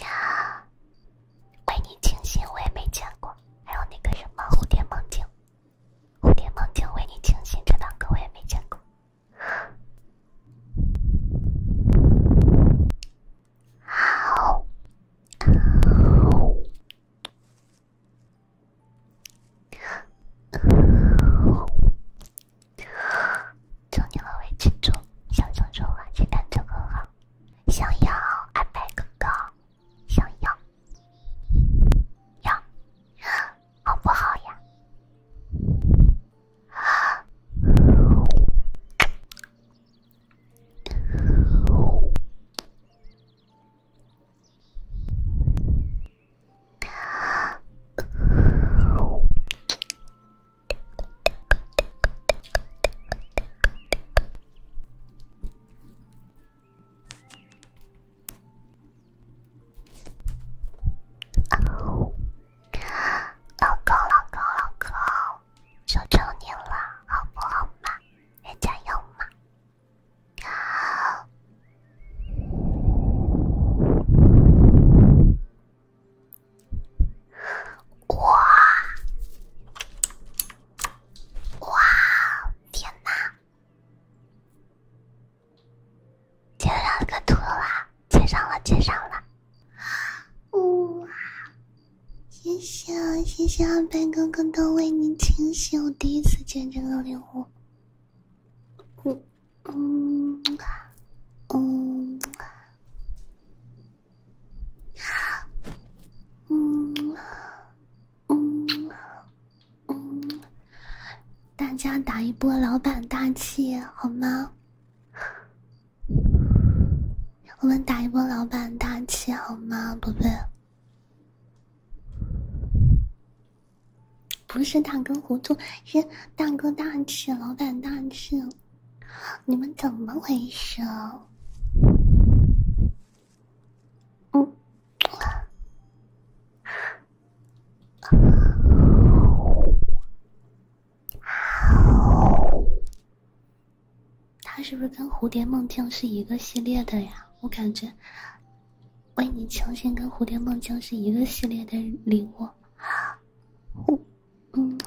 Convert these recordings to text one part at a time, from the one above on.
呀，为你清醒我也没见过，还有那个什么蝴蝶梦境，蝴蝶梦境为你清醒，这两歌我也没见过。好。祝你们维持住，小猪猪啊，今天这个，想要阿白哥哥，想要，要，好不好呀？啊！老公，老公，老公，求求你了，好不好嘛？也加油嘛！哇哇！天哪！接上一个图了，接上了，接上了！哇！谢谢，谢谢阿贝哥哥的为你清醒。我第一次见这个礼物。嗯嗯嗯嗯嗯大家打一波老板大气好吗？我们打一波老板大气好吗，宝贝？不是大哥糊涂，是大哥大气，老板大气，你们怎么回事？嗯，他是不是跟蝴蝶梦境是一个系列的呀？我感觉。为你重新跟蝴蝶梦僵是一个系列的礼物，我、木，嗯，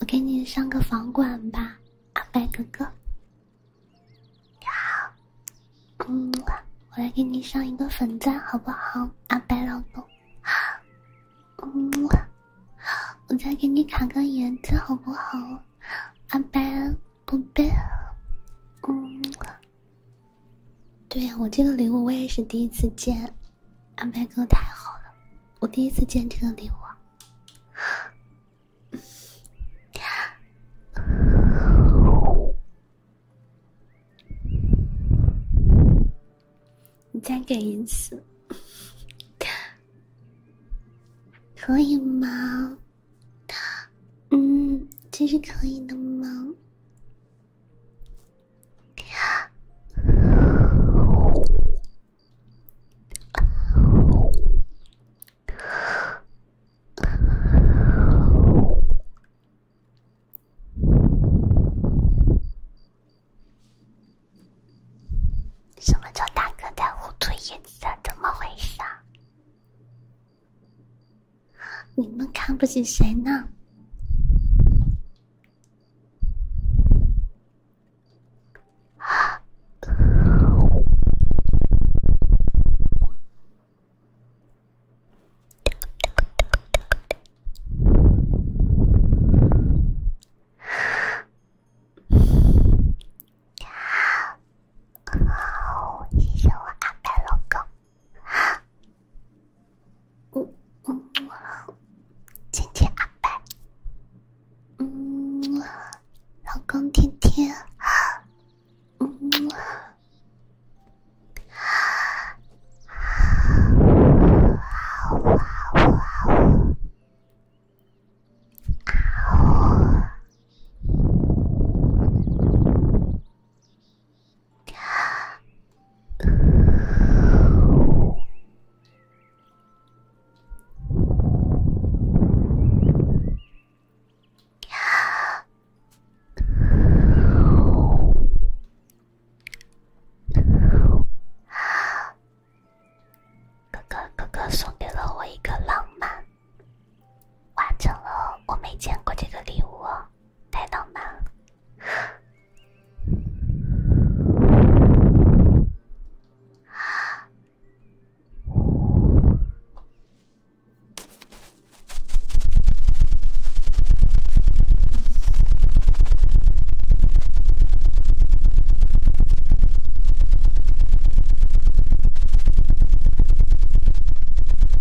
我给你上个房管吧，阿白哥哥，你好，木，我来给你上一个粉钻好不好，阿白老公，木，我再给你卡个颜值好不好，阿白宝贝？木。对呀，我这个礼物我也是第一次见，安排哥太好了，我第一次见这个礼物，你再给一次，可以吗？他，嗯，这是可以的吗？什么叫大哥在胡涂颜色？怎么回事？你们看不起谁呢？哦，谢谢我阿白老公。嗯嗯，天天阿白。嗯，老公天天。嗯。啊。啊。啊。哥哥，哥哥送给了我一个浪漫。完成了，我没见过这个礼物，太浪漫了。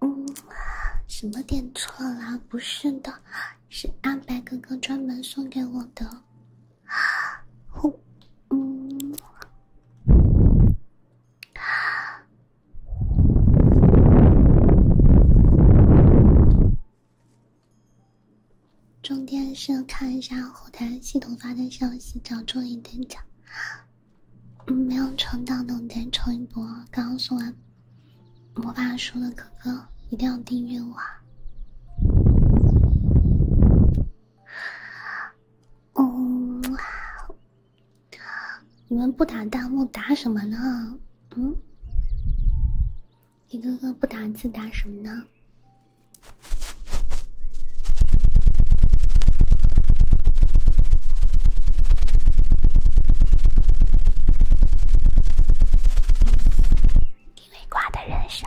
嗯，什么点错了？不是的，是阿白哥哥专门送给我的。啊，我，嗯。重点是看一下后台系统发的消息，找中一等奖。没有抽到的，我再抽一波。刚刚送完。魔法书的哥哥一定要订阅我哦！你们不打弹幕打什么呢？嗯，你哥哥不打字打什么呢？因为挂的人少。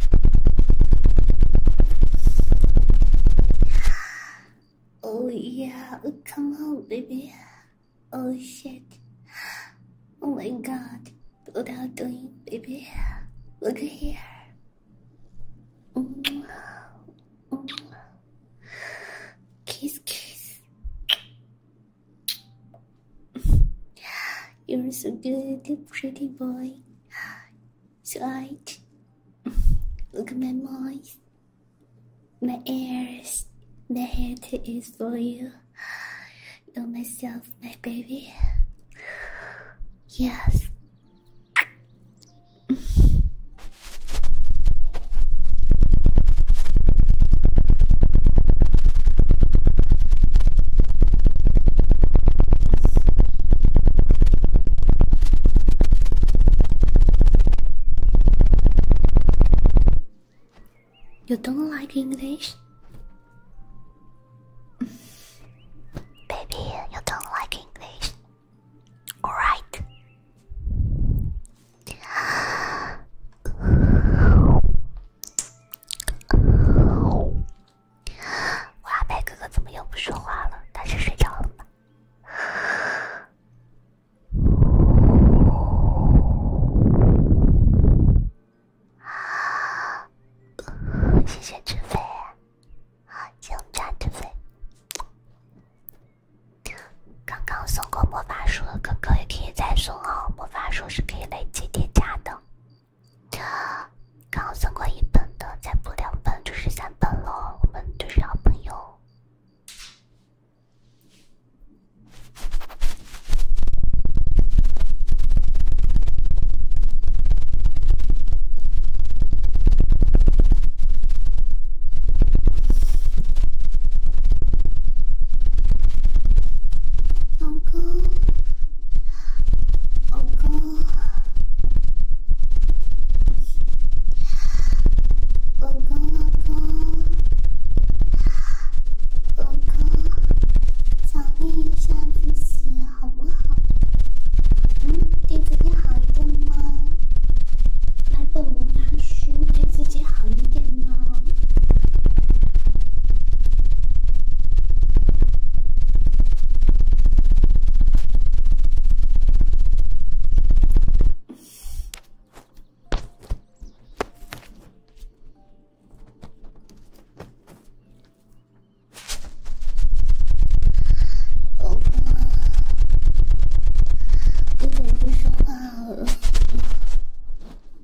Oh yeah, oh, come on, baby. Oh shit. Oh my god. What are you doing, baby? Look here. Kiss, kiss. You're so good, pretty boy right. Look at my mouth, my ears, my head is for you. You're myself, my baby. Yes. You don't like English? Baby, you don't like English. Alright. 哇，白哥哥怎么又不说话了？他是睡着了吗？啊！谢谢志飞，啊，点战志飞。刚刚送过魔法书的哥哥也可以再送哦，魔法书是可以累积叠加的。刚送过一本的，再补两本就是三本了。我们就是好朋友。老公。老公，老公，老公，老公，奖励一下自己好不好？嗯，对自己好一点吗？买本魔法书，对自己好一点吗？老公，你怎么不说话了？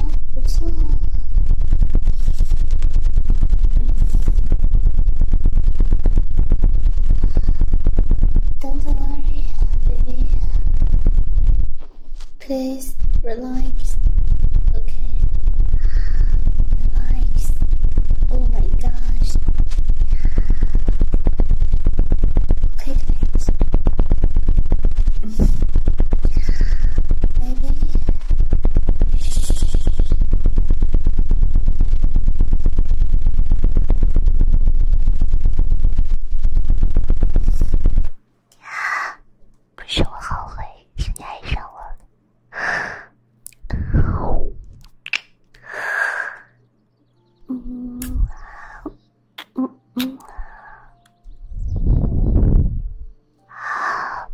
do not worry, baby. Please relax. Okay. Relax. Oh my gosh. Okay, guys. Baby. 呀，不是我后悔，是你爱上我了。嗯嗯嗯。啊！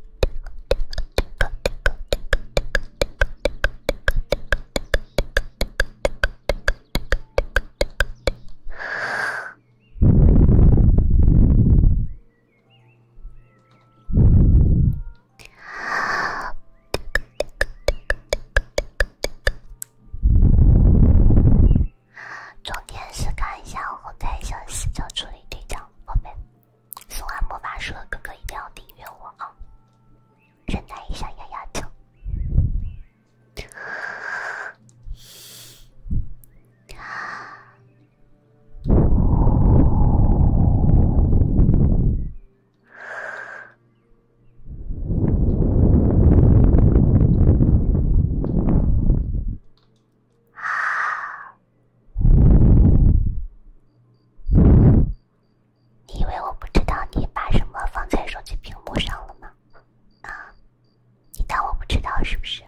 重点是看一下我在小视角处理对焦。宝贝，送完魔法树的哥哥一定要订阅我啊！忍耐一下，丫丫姐。啊！你以为我不知道你把什么放在手机屏幕上了吗？啊！你当我不知道是不是？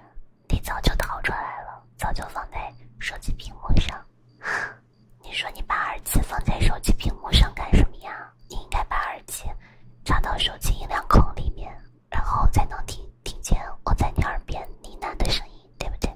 你早就逃出来了，早就放在手机屏幕上。你说你把耳机放在手机屏幕上干什么呀？你应该把耳机插到手机音量孔里面。然后才能听听见我在你耳边呢喃的声音，对不对？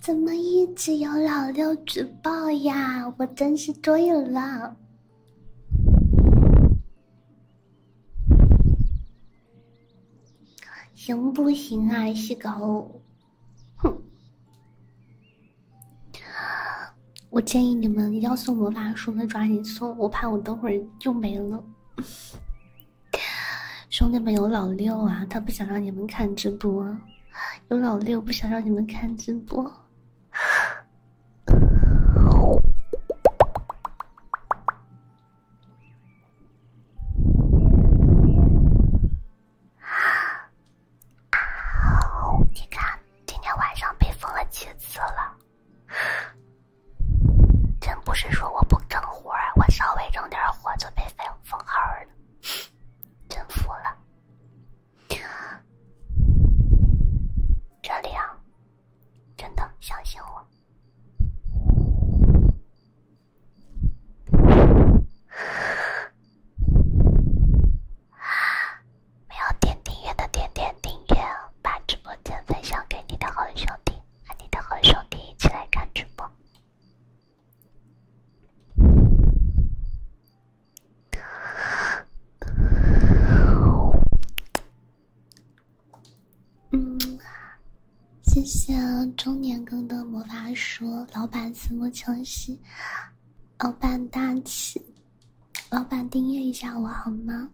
怎么一直有老六举报呀？我真是醉了。行不行啊，细狗？哼，我建议你们要送魔法书的抓紧送，我怕我等会儿就没了。兄弟们，有老六啊，他不想让你们看直播，有老六不想让你们看直播。啊！你看，今天晚上被封了几次了？真不是说我不整活我稍微整点活就被封封号了，真服了。这里啊，真的相信我。没有点订阅的点点订阅，把直播间分享给你的好兄弟，和你的好兄弟一起来看直播。嗯谢谢中年哥的魔法书，老板子莫清晰。老板大气，老板订阅一下我好吗？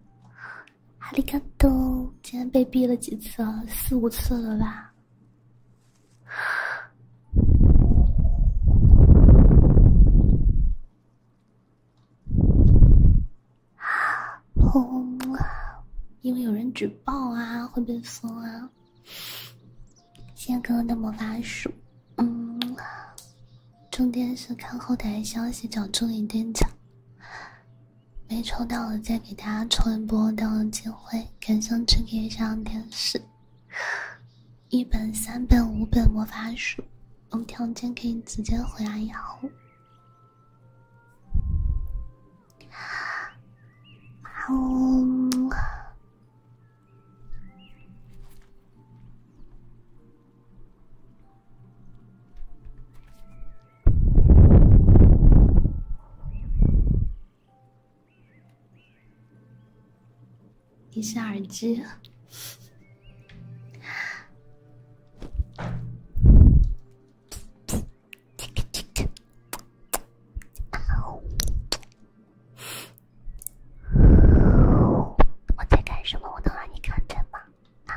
哈利卡多，今天被逼了几次了，四五次了吧？啊，因为有人举报啊，会被封啊。谢谢哥哥的魔法书，嗯，重点是看后台消息找助理店长，没抽到的再给大家抽一波到了机会，感兴趣可以上电视，一本、三本、五本魔法书，有条件可以直接回来要。啊呜。你 是耳机。我在干什么？我能让你看见吗？啊！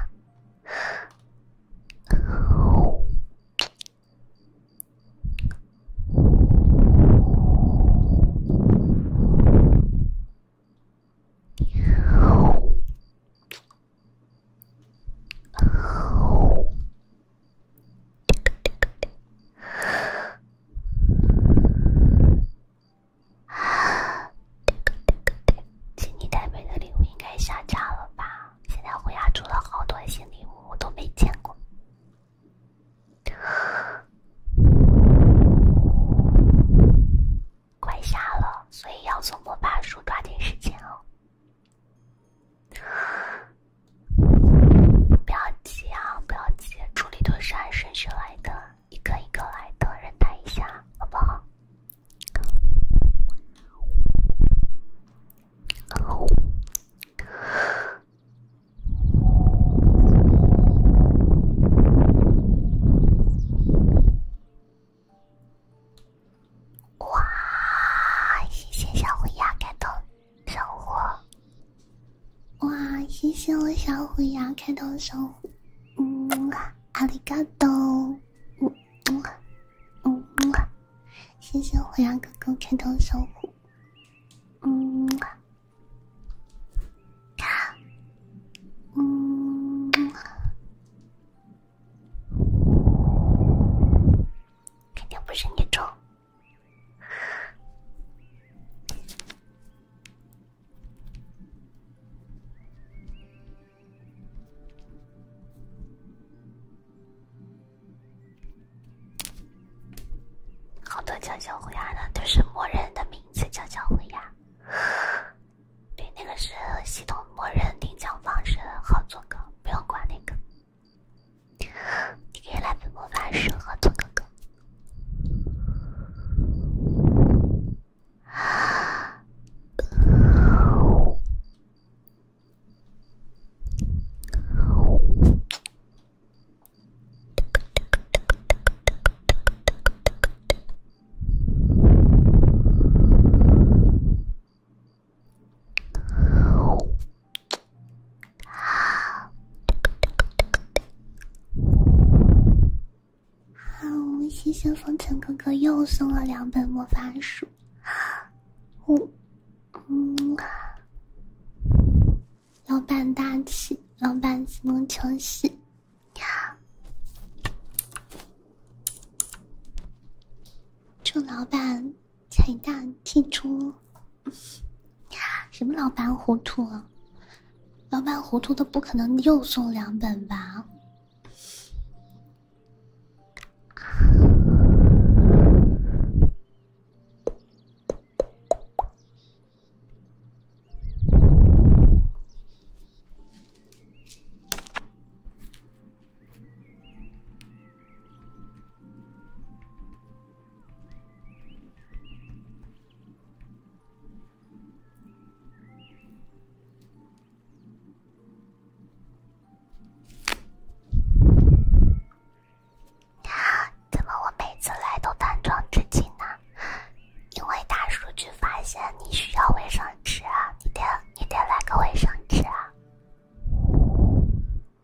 啊！给你太美的礼物应该下架了吧？现在我家出了好多新礼物，我都没见过。快下了，所以要送魔法书，抓紧时间哦。不要急啊，不要急，处理都是按顺序来的，一个一个来的，忍耐一下，好不好？哇！谢谢小虎牙，感动。小虎，哇，谢谢我小虎牙开通小虎，嗯，阿里嘎多，嗯嗯嗯谢谢虎牙哥哥开通小虎，嗯木，看，嗯肯定不是你种。好多叫小虎牙的，就是默认的名字叫小虎牙。对，那个是系统默认领奖方式，好做个，不用管那个。你可以来分魔法师和兔哥哥。好，好，谢谢风尘哥哥又送了两本魔法书。呜，嗯，老板大气，老板怎么求势祝老板财大气粗！什么老板糊涂啊？老板糊涂的不可能又送两本吧？啊！怎么我每次来都淡妆至今呢？因为大数据发现你需要卫生纸啊，你得你得来个卫生纸啊！啊！啊！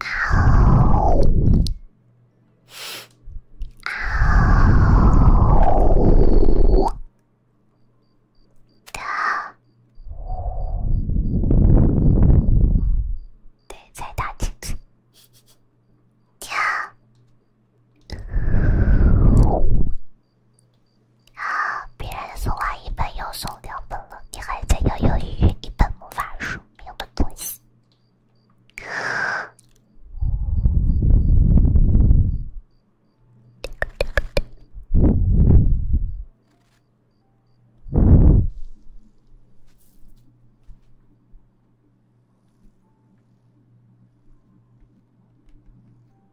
啊！得，对，在大厅。呀！啊！别人送完一本，又送两本了，你还在犹犹豫豫，一本魔法书，没有的东西。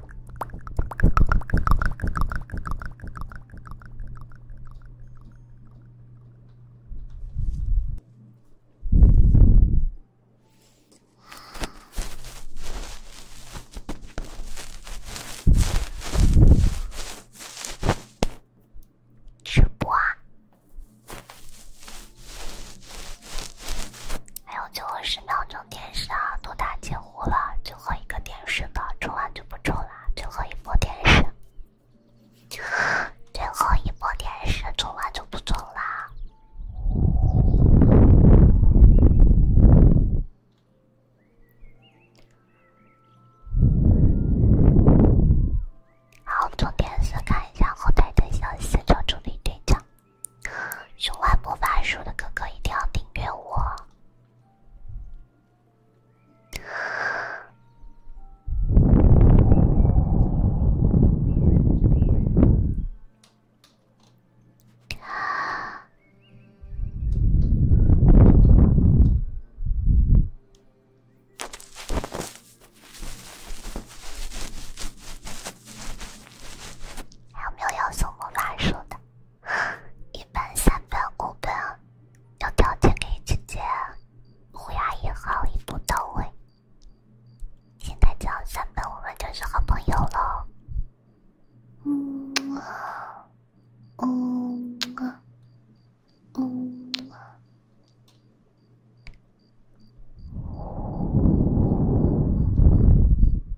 直播。还有最后十秒钟电视啊，都打几湖了，最后一个电视的，抽完就不抽了，最后一波电视，最后一波电视，抽完就不抽啦。好，做电视看一下后台的消息，找助理队长。喜欢魔法书的哥哥一定要订阅我。还有没有要送魔法书的？一本、三本、五本，有条件给姐姐。乌鸦一号一步到位。现在交三本，我们就是好朋友了。嗯啊，嗯啊，嗯啊。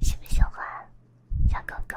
喜不喜欢小狗狗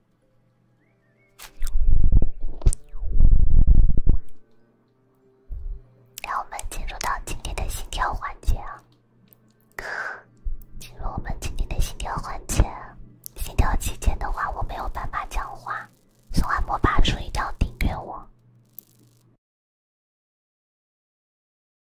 让我们进入到今天的心跳环节啊！进入我们今天的心跳环节，心跳期间的话，我没有办法讲话。喜欢我吧，所一定要订阅我。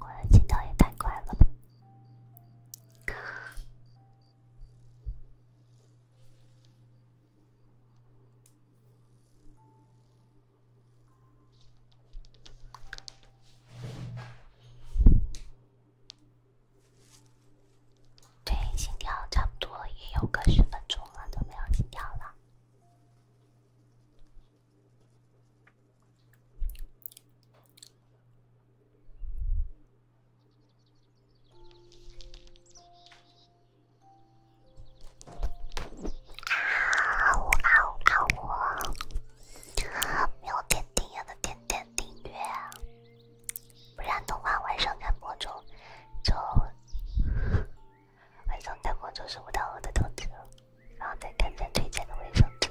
我的进度也太快了吧！对，心跳差不多也有个十分钟了，都没有心跳了。啊我啊我啊我没有点订阅的点点订阅，不然的话晚上看播中就晚上看播中收不到我的通知，然后再看咱推荐的生纸。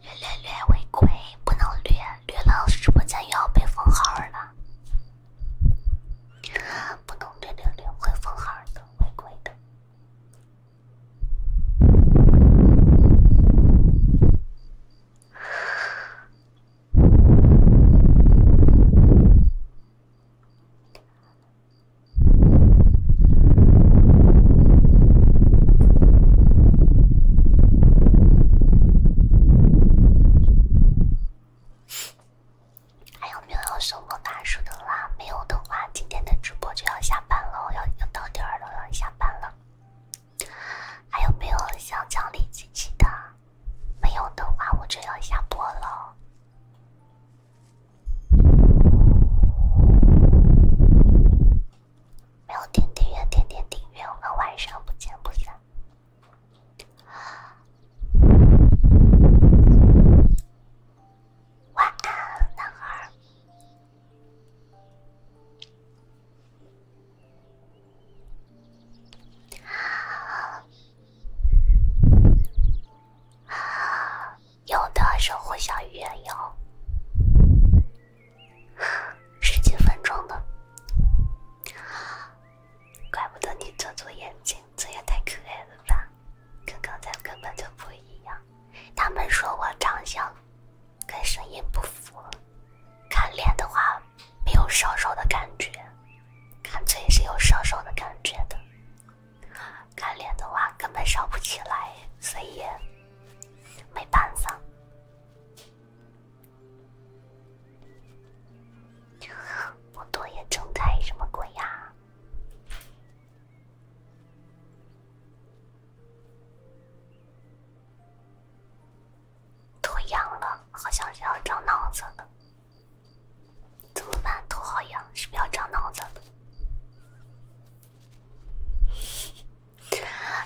略略略违规，不能略，略了直播间又要被封号了。不能略略略会封号的，违规的。还有没有要送魔法书的啦？没有的话，今天的直播就要下班了，要要到点儿了，要下班了。还有没有想奖励自己的？没有的话，我就要下播了。没有点订阅，点点订阅，我们晚上不见不散。晚安，男孩。啊。啊。有的时候下雨，有十几分钟的。怪不得你这组眼睛，这也太可爱了吧！跟刚才根本就不一样。他们说我长相跟声音不符，看脸的话没有瘦瘦的感觉，看嘴是有瘦瘦的感觉的。看脸的话根本烧不起来，所以没办法。我多也睁开什么鬼呀？多痒了，好像是要长脑子了。怎么办？头好痒，是不是要长脑子了？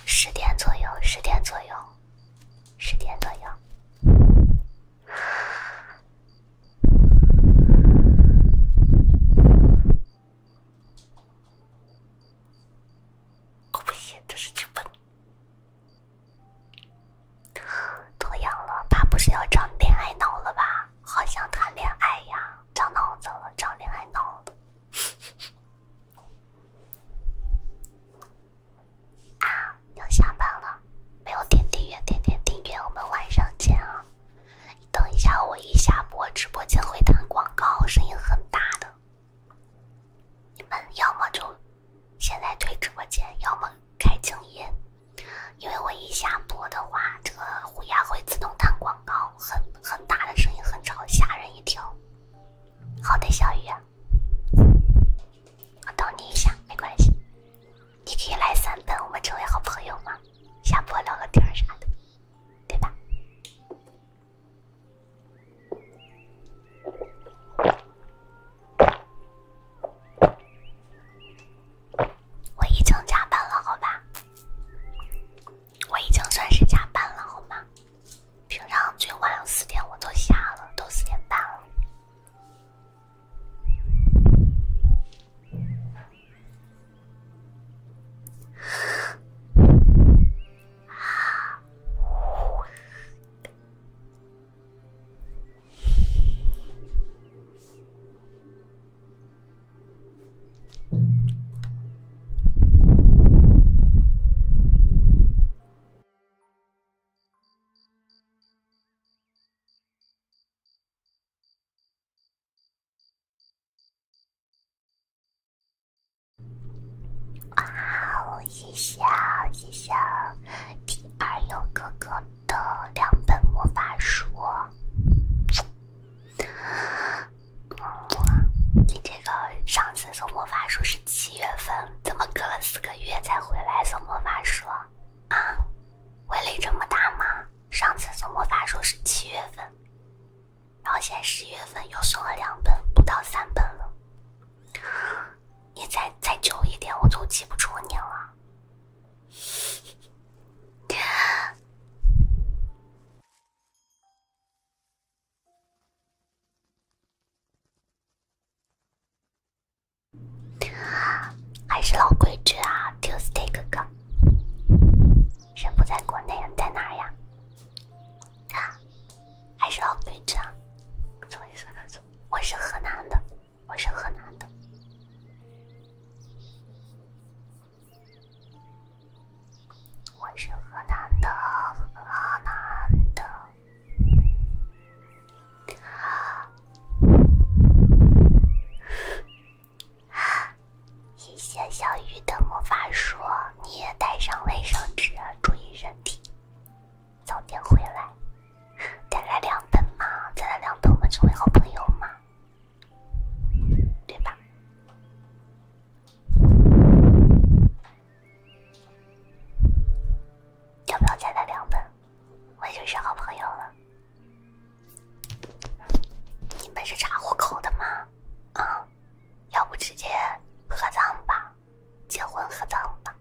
十点左右，十点左右，十点左右。不行，这是剧本。头痒了，怕不是要长恋爱脑了吧？好想谈恋爱呀！长脑子了，长恋爱脑了。啊，要下班了，没有点订阅，点点订阅。我们晚上见啊！等一下，我一下播，直播间会弹广告，声音很大的。你们要么就现在退直播间，要么开静音。因为我一下播的话，这个虎牙会自动弹广告，很很大的声音，很吵，吓人一跳。好的，小雨，啊，我等你一下，没关系。你可以来三本，我们成为好朋友吗？下播聊个天啥的，对吧？我已经加班了，好吧？我已经算是加班了，好吗？平常最晚四点我都下了，都四点半了。啊！哇！第二有哥哥。的两本魔法书，你这个上次送魔法书是七月份，怎么隔了四个月才回来送魔法书？啊，威力这么大吗？上次送魔法书是七月份，然后现在十一月份又送了两本，不到三本了。你再再久一点，我就记不住你了。还是老规矩啊，Tuesday 哥哥，人不在国内，在哪呀？啊，还是老规矩啊。我是河南的，我是河南的。我是河南的，河南的。谢谢小鱼的魔法书，你也带上卫生纸，注意身体，早点回来。再来两本嘛，再来两本，我们成为好朋友嘛。对吧？要不要再来两本？我们就是好朋友了。你们是查户口的吗？啊，要不直接合葬吧，结婚合葬吧。